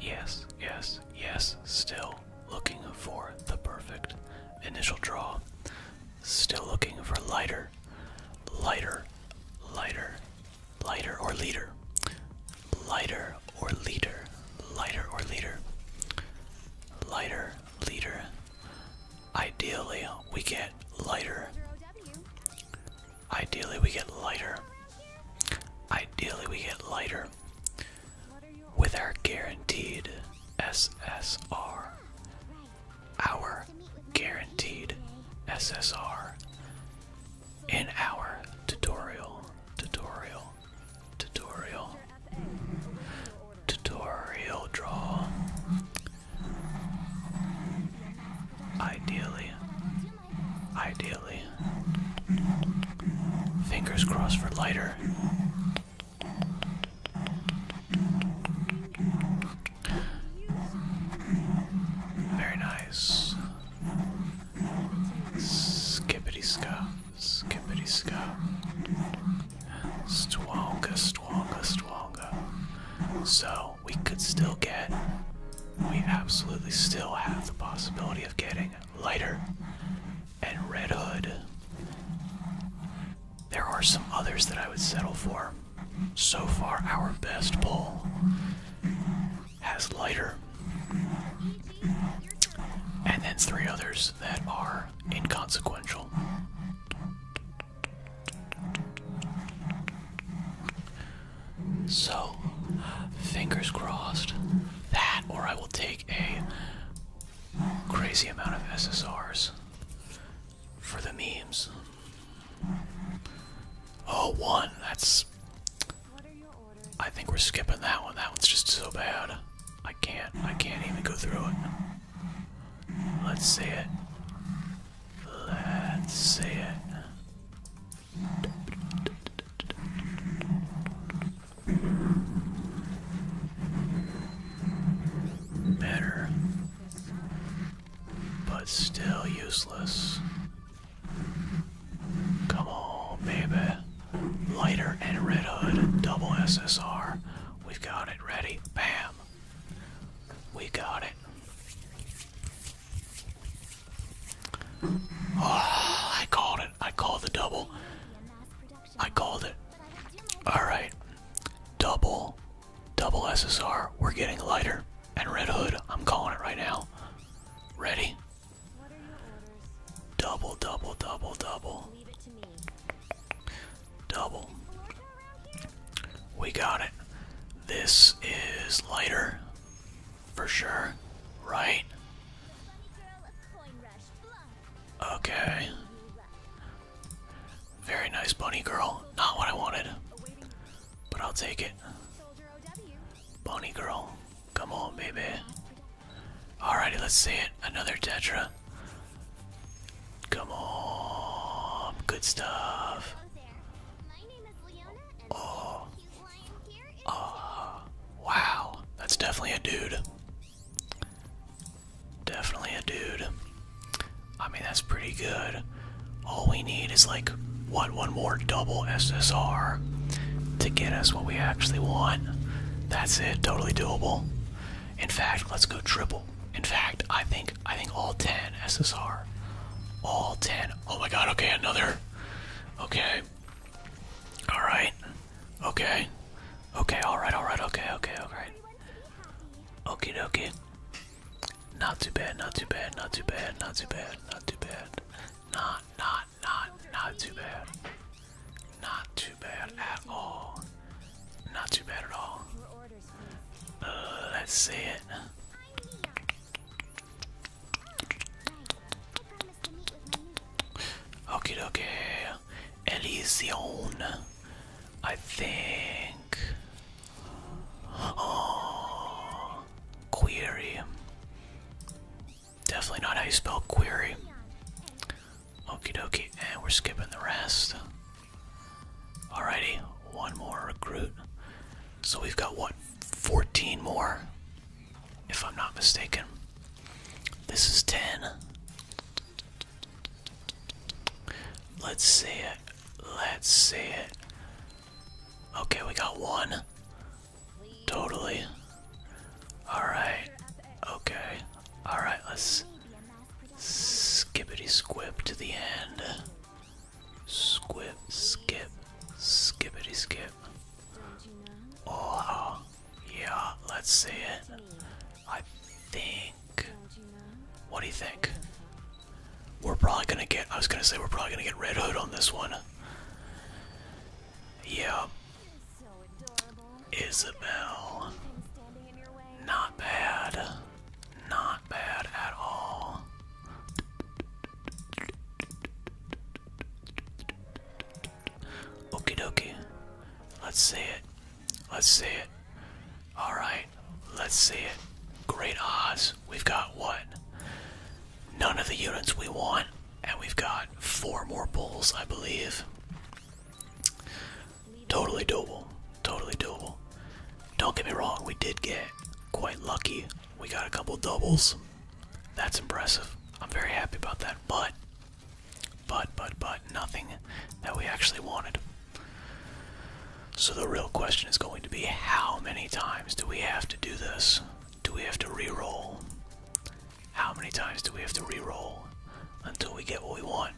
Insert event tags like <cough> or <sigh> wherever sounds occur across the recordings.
Yes, yes, yes, still looking for the perfect initial draw. Still looking for lighter, lighter, lighter, lighter or leader. Lighter or leader, lighter or leader. Lighter, leader. Ideally, we get lighter. Ideally, we get lighter. Ideally, we get lighter with our guaranteed SSR. Our guaranteed SSR in our tutorial, tutorial, tutorial, tutorial draw. Ideally, Ideally. Fingers crossed for lighter. Very nice. Skippity ska, skippity ska. Stwonga, stwonga, stwonga. So we could still get we absolutely still have the possibility of getting Lighter and Red Hood. There are some others that I would settle for. So far, our best pull has Lighter, and then three others that are inconsequential. So, fingers crossed that, or I will take a crazy amount of SSRs for the memes. Oh, one. That's. I think we're skipping that one. That one's just so bad. I can't. I can't even go through it. Let's see it. Let's see it. Better, but still useless. Come on, baby. Lighter and Red Hood, double SSR. We've got it ready. Bam. We got it. Oh, I called it. I called the double. I called it. Alright. Double. Double SSR. We're getting lighter. And Red Hood. I'm calling it right now. Ready? Double, double, double, double. Double. We got it. This is lighter for sure, right? Okay. Very nice, bunny girl. Not what I wanted, but I'll take it. Bunny girl, come on, baby. Alrighty, let's see it. Another Tetra. Come on, good stuff. Oh, Oh, wow. That's definitely a dude. Definitely a dude. I mean, that's pretty good. All we need is like, what, one more double SSR to get us what we actually want. That's it, totally doable. In fact, let's go triple. In fact, I think I think all 10 SSR. All 10. Oh my god, okay, another here. Okay. Alright. Okay. Okay, alright, alright, okay, okay, alright. Okie dokie. Not too bad, not too bad, not too bad, not too bad, not too bad. Not, not, not, not too bad. Not too bad at all. Not too bad at all. Uh, let's see it. Okie dokie. Elysion. I think. Oh. Query. Definitely not how spell query. Okie dokie. And we're skipping the rest. Alrighty. One more recruit. So we've got one. 14 more, if I'm not mistaken. This is 10. Let's see it. Let's see it. Okay, we got one. Totally. Alright. Okay. Alright, let's skippity squib to the end. Squib, skip, skippity skip. Oh, yeah, let's see it. I think. What do you think? We're probably gonna get. I was gonna say we're probably gonna get Red Hood on this one. Yep. Isabelle. Not bad. Not not bad at all. Okie dokie. Let's see it. Let's see it. Alright, let's see it. Great odds. We've got what? None of the units we want, and we've got four more bulls, I believe. Totally doable. Totally doable. Don't get me wrong, we did get quite lucky. We got a couple doubles. That's impressive. I'm very happy about that. But, but, but, but, nothing that we actually wanted. So the real question is going to be how many times do we have to do this? Do we have to re-roll? How many times do we have to re-roll until we get what we want?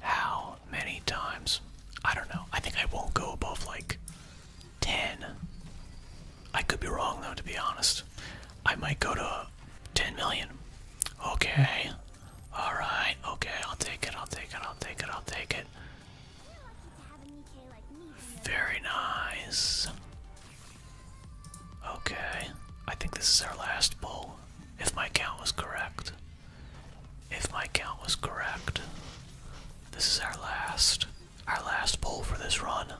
How many times. I don't know. I think I won't go above like 10. I could be wrong though, to be honest. I might go to 10 million. Okay. Alright. Okay. I'll take it. I'll take it. I'll take it. I'll take it. Very nice. Okay. I think this is our last pull, if my count was correct. If my count was correct, this is our last, our last pull for this run.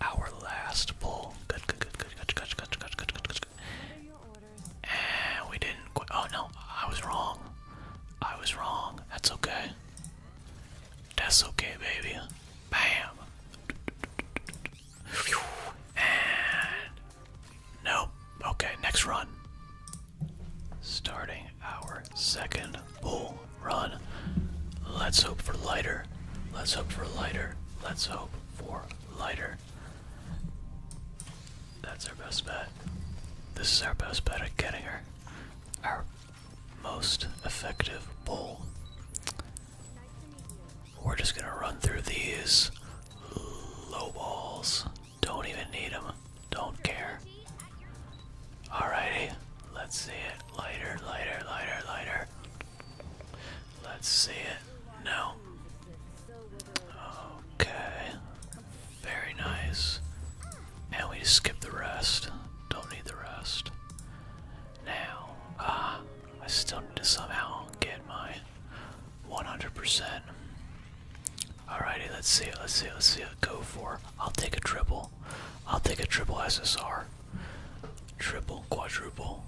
Our last pull. Good, good, good, good, good, good, good, good, good, good, good. And we didn't quit. Oh no, I was wrong. I was wrong. That's okay. That's okay, baby. Bam. And no. Okay, next run. Starting our second bull run. Let's hope for lighter. Let's hope for lighter. Let's hope for lighter. That's our best bet. This is our best bet at getting her. Our most effective bull. We're just gonna run through these low balls. Don't even need them. Don't care. Alrighty. Let's see it. Lighter, lighter, lighter, lighter. Let's see it. No. Okay. Very nice. And we just skip the rest. Don't need the rest. Now, ah, I still need to somehow get my 100%. Alrighty, let's see it, let's see it, let's see it. Go for I'll take a triple. I'll take a triple SSR. Triple, quadruple.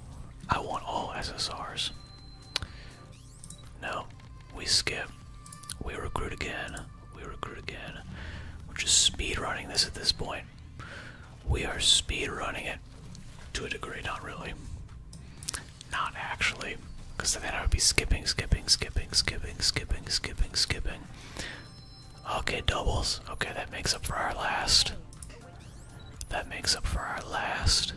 I want all SSRs. No, we skip. We recruit again. We recruit again. We're just speed running this at this point. We are speed running it. To a degree, not really. Not actually, because then I would be skipping, skipping, skipping, skipping, skipping, skipping, skipping. Okay, doubles. Okay, that makes up for our last. That makes up for our last.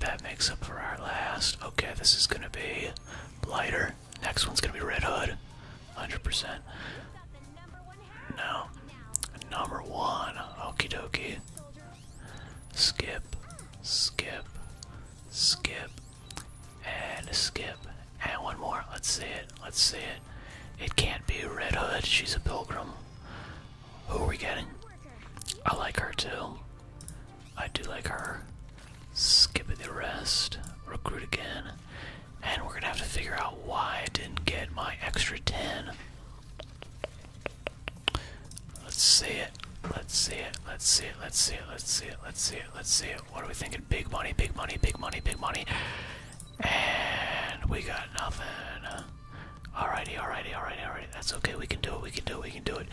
That makes up for our last. Okay, this is gonna be Blighter. Next one's gonna be Red Hood. 100%. No. Number one. Okie dokie skip, skip, skip, and skip, and one more. Let's see it. Let's see it. It can't be Red Hood. She's a pilgrim. Who are we getting? I like her too. I do like her. Skip it the rest. Recruit again. And we're gonna have to figure out why I didn't get my extra 10. Let's see it. Let's see it. Let's see it. Let's see it. Let's see it. Let's see it. Let's see it. What are we thinking? Big money, big money, big money, big money. And we got nothing. Alrighty, alrighty, alrighty, alrighty. That's okay. We can do it. We can do it. We can do it.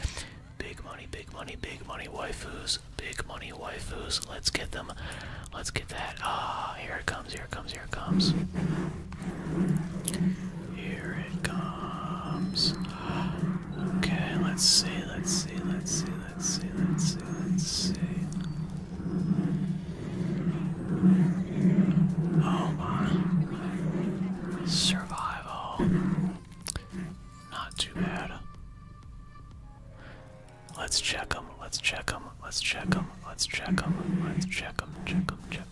Big money, big money, big money waifus. Big money waifus. Let's get them. Let's get that. Ah, here it comes. Here it comes. Here it comes. Here it comes. Okay, let's see, let's see, let's see, let's see, let's see, let's see. Oh my. Survival. Not too bad. Let's check them, let's check them, let's check them, let's check them, let's check them, check them, check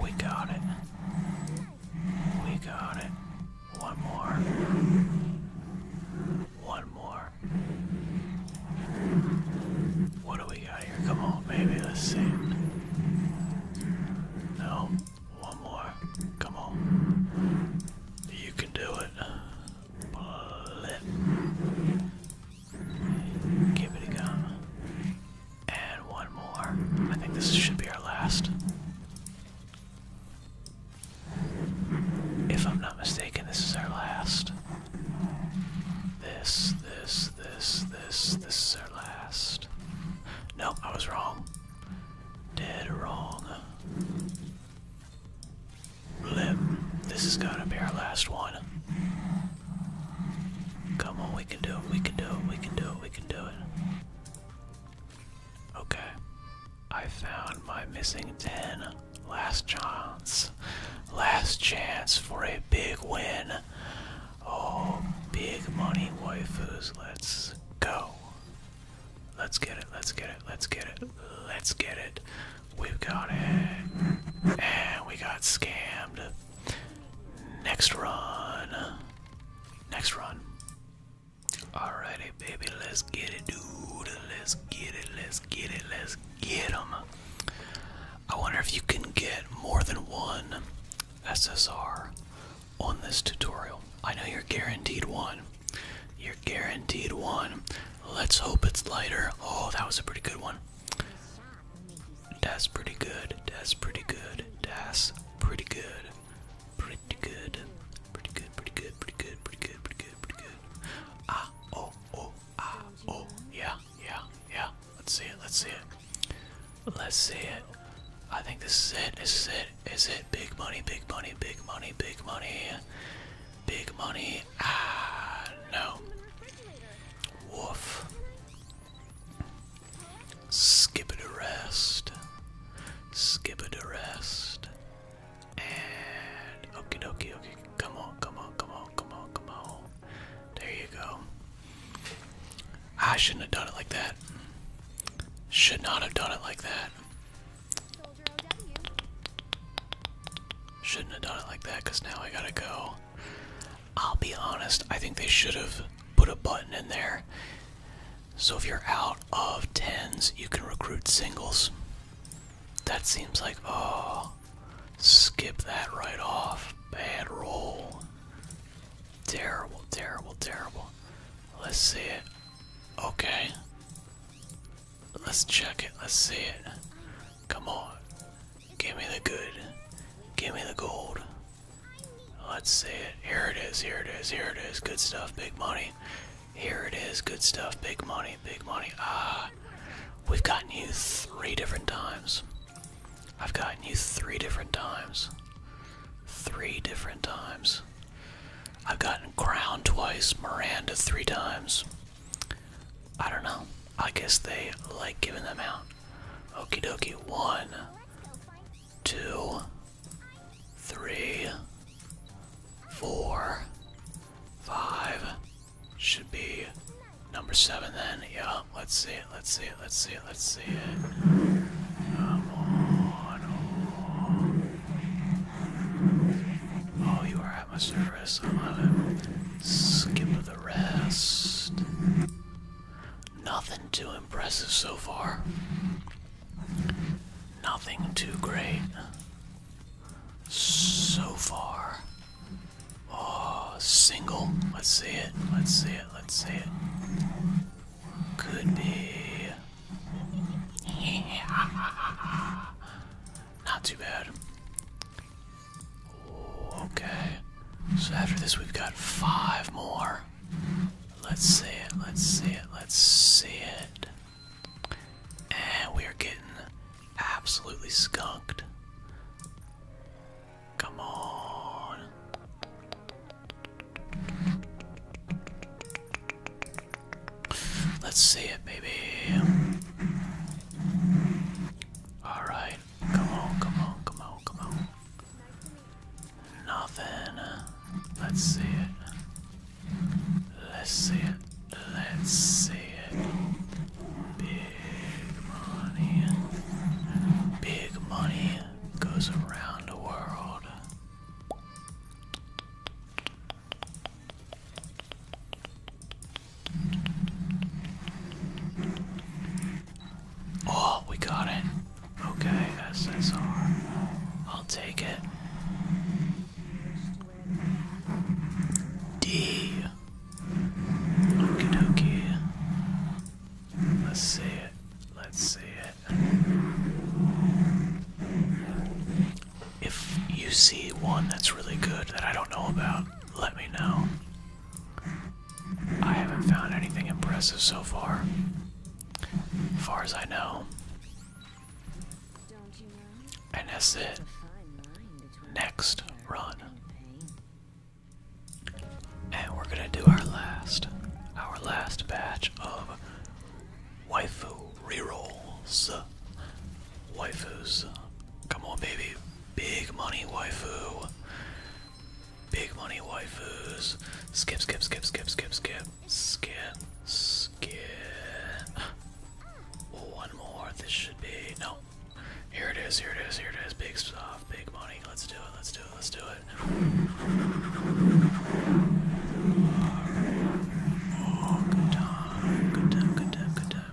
We got it. We got it. One more. One more. What do we got here? Come on, baby. Let's see. No. One more. Come on. You can do it. Pull it. Give it a go. And one more. I think this should be our last. If I'm not mistaken, this is our last. This, this, this, this, this is our last. No, I was wrong. Dead wrong. Lip. This is gonna be our last one. Come on, we can do it, we can do it, we can do it, we can do it. Okay. I found my missing 10. Last chance. Last chance for a big win. Oh, big money waifus. Let's go. Let's get it, let's get it, let's get it, let's get it. We've got it. And we got scammed. Next run. Next run. All righty, baby, let's get it, dude. Let's get it, let's get it, let's get them. I wonder if you can get more than one SSR on this tutorial. I know you're guaranteed one. You're guaranteed one. Let's hope it's lighter. Oh, that was a pretty good one. That's pretty good. That's pretty good. That's pretty good. Pretty good. Pretty good. Pretty good. Pretty good. Pretty good. Pretty good. Pretty good. Ah, oh, oh, ah, oh. Yeah, yeah, yeah. Let's see it. Let's see it. Let's see it. I think this is it. This is it. Is it big money? Big money. Big money. Big money. Big money. Ah, no. Woof. Skip it a rest. Skip it a rest. And okie dokie, okay. Come on, come on, come on, come on, come on. There you go. I shouldn't have done it like that. Should not have done it like that. Shouldn't have done it like that now I gotta go I'll be honest, I think they should have put a button in there. So if you're out of tens, you can recruit singles. That seems like, oh, skip that right off. Bad roll. Terrible, terrible, terrible. Let's see it. Okay. Let's check it. Let's see it. Come on. Give me the good. Give me the gold. Let's see it. Here it is. Here it is. Here it is. Good stuff. Big money. Here it is. Good stuff. Big money. Big money. Ah. We've gotten you three different times. I've gotten you three different times. Three different times. I've gotten Crown twice, Miranda three times. I don't know. I guess they like giving them out. Okey dokie. One, two, three, four, five. Should be number seven then. Yeah, let's see it. Let's see it. Let's see it. Let's see it. Come on. oh you are at my service. I'm gonna skip the rest. Nothing too impressive so far. Nothing too great so far. Oh, single. Let's see it. Let's see it. Let's see it. Could be. <laughs> Not too bad okay. So after this, we've got five more. Let's see it, let's see it, let's see it. And we are getting absolutely skunked. Come on. Let's see it, baby. All right, come on, come on, come on, come on. Nothing. Let's see it. Let's see it. Let's see it. Big money. Big money goes around the world. Oh, we got it. Okay, SSR. I'll take it. D. Okie dokie. Let's see it. Let's see it. If you see one that's really good that I don't know about, let me know. I haven't found anything impressive so far. Far as I know. And that's it. Next run. And we're gonna do our last, our last batch of waifu re rolls. Waifus. Come on, baby. Big money waifu. Big money waifus. Skip, skip, skip, skip, skip, skip. Skip, skip. One more. This should be. No. Here it is, here it is, here it is. Big stuff, big money. Let's do it, let's do it, let's do it. Oh, good time, good time, good time, good time.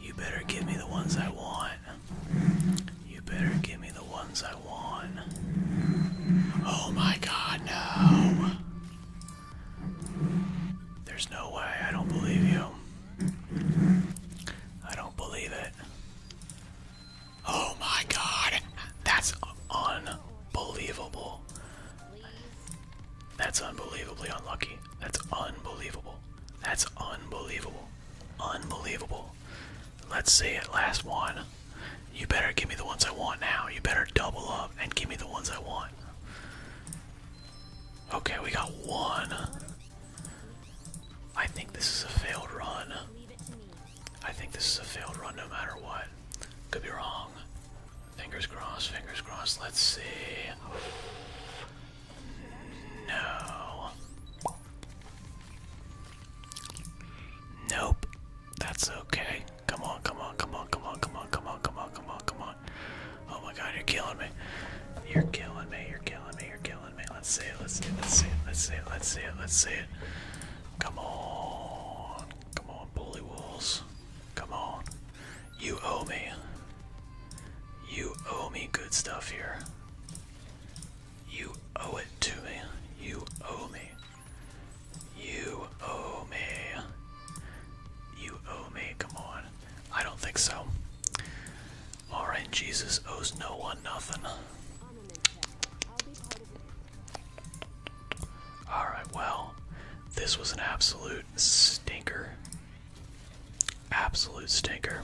You better give me the ones I want. You better give me the ones I want. Oh my god, no! There's no way. I don't believe you. I don't believe it. Oh my god! That's unbelievable. That's unbelievably unlucky. That's unbelievable. That's unbelievable. Unbelievable. Let's see it. Last one. You better give me the ones I want now. You better double up and give me the ones I want. Okay, we got one. I think this is a failed run. I think this is a failed run no matter what. Could be wrong. Fingers crossed, fingers crossed. Let's see. No. Nope. That's okay. Come on, come on, come on, come on, come on, come on, come on, come on, come on. Oh my god, you're killing me. You're killing me, you're killing me, you're killing me. Let's see it, let's see it, let's see it, let's see it, let's see it, let's see it. Come on. Come on, bully wolves. Come on. You owe me. You owe me good stuff here. You owe it to me. You owe me. You owe me. You owe me. Come on. I don't think so. Alright, Jesus owes no one nothing. Alright, well, this was an absolute stinker. Absolute stinker.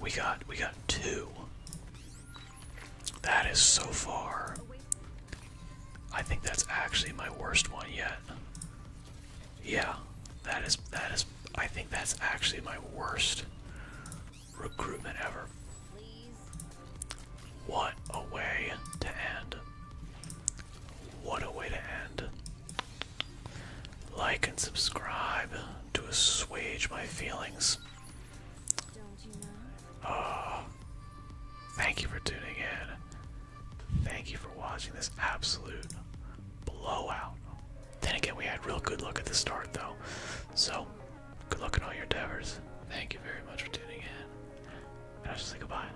We got we got two. That is so far. I think that's actually my worst one yet. Yeah, that is that is I think that's actually my worst recruitment ever. What a way to end. What a way to end. Like and subscribe to assuage my feelings. Oh, thank you for tuning in. Thank you for watching this absolute blowout. Then again, we had real good luck at the start, though. So, good luck in all your endeavors. Thank you very much for tuning in. And I'll say goodbye.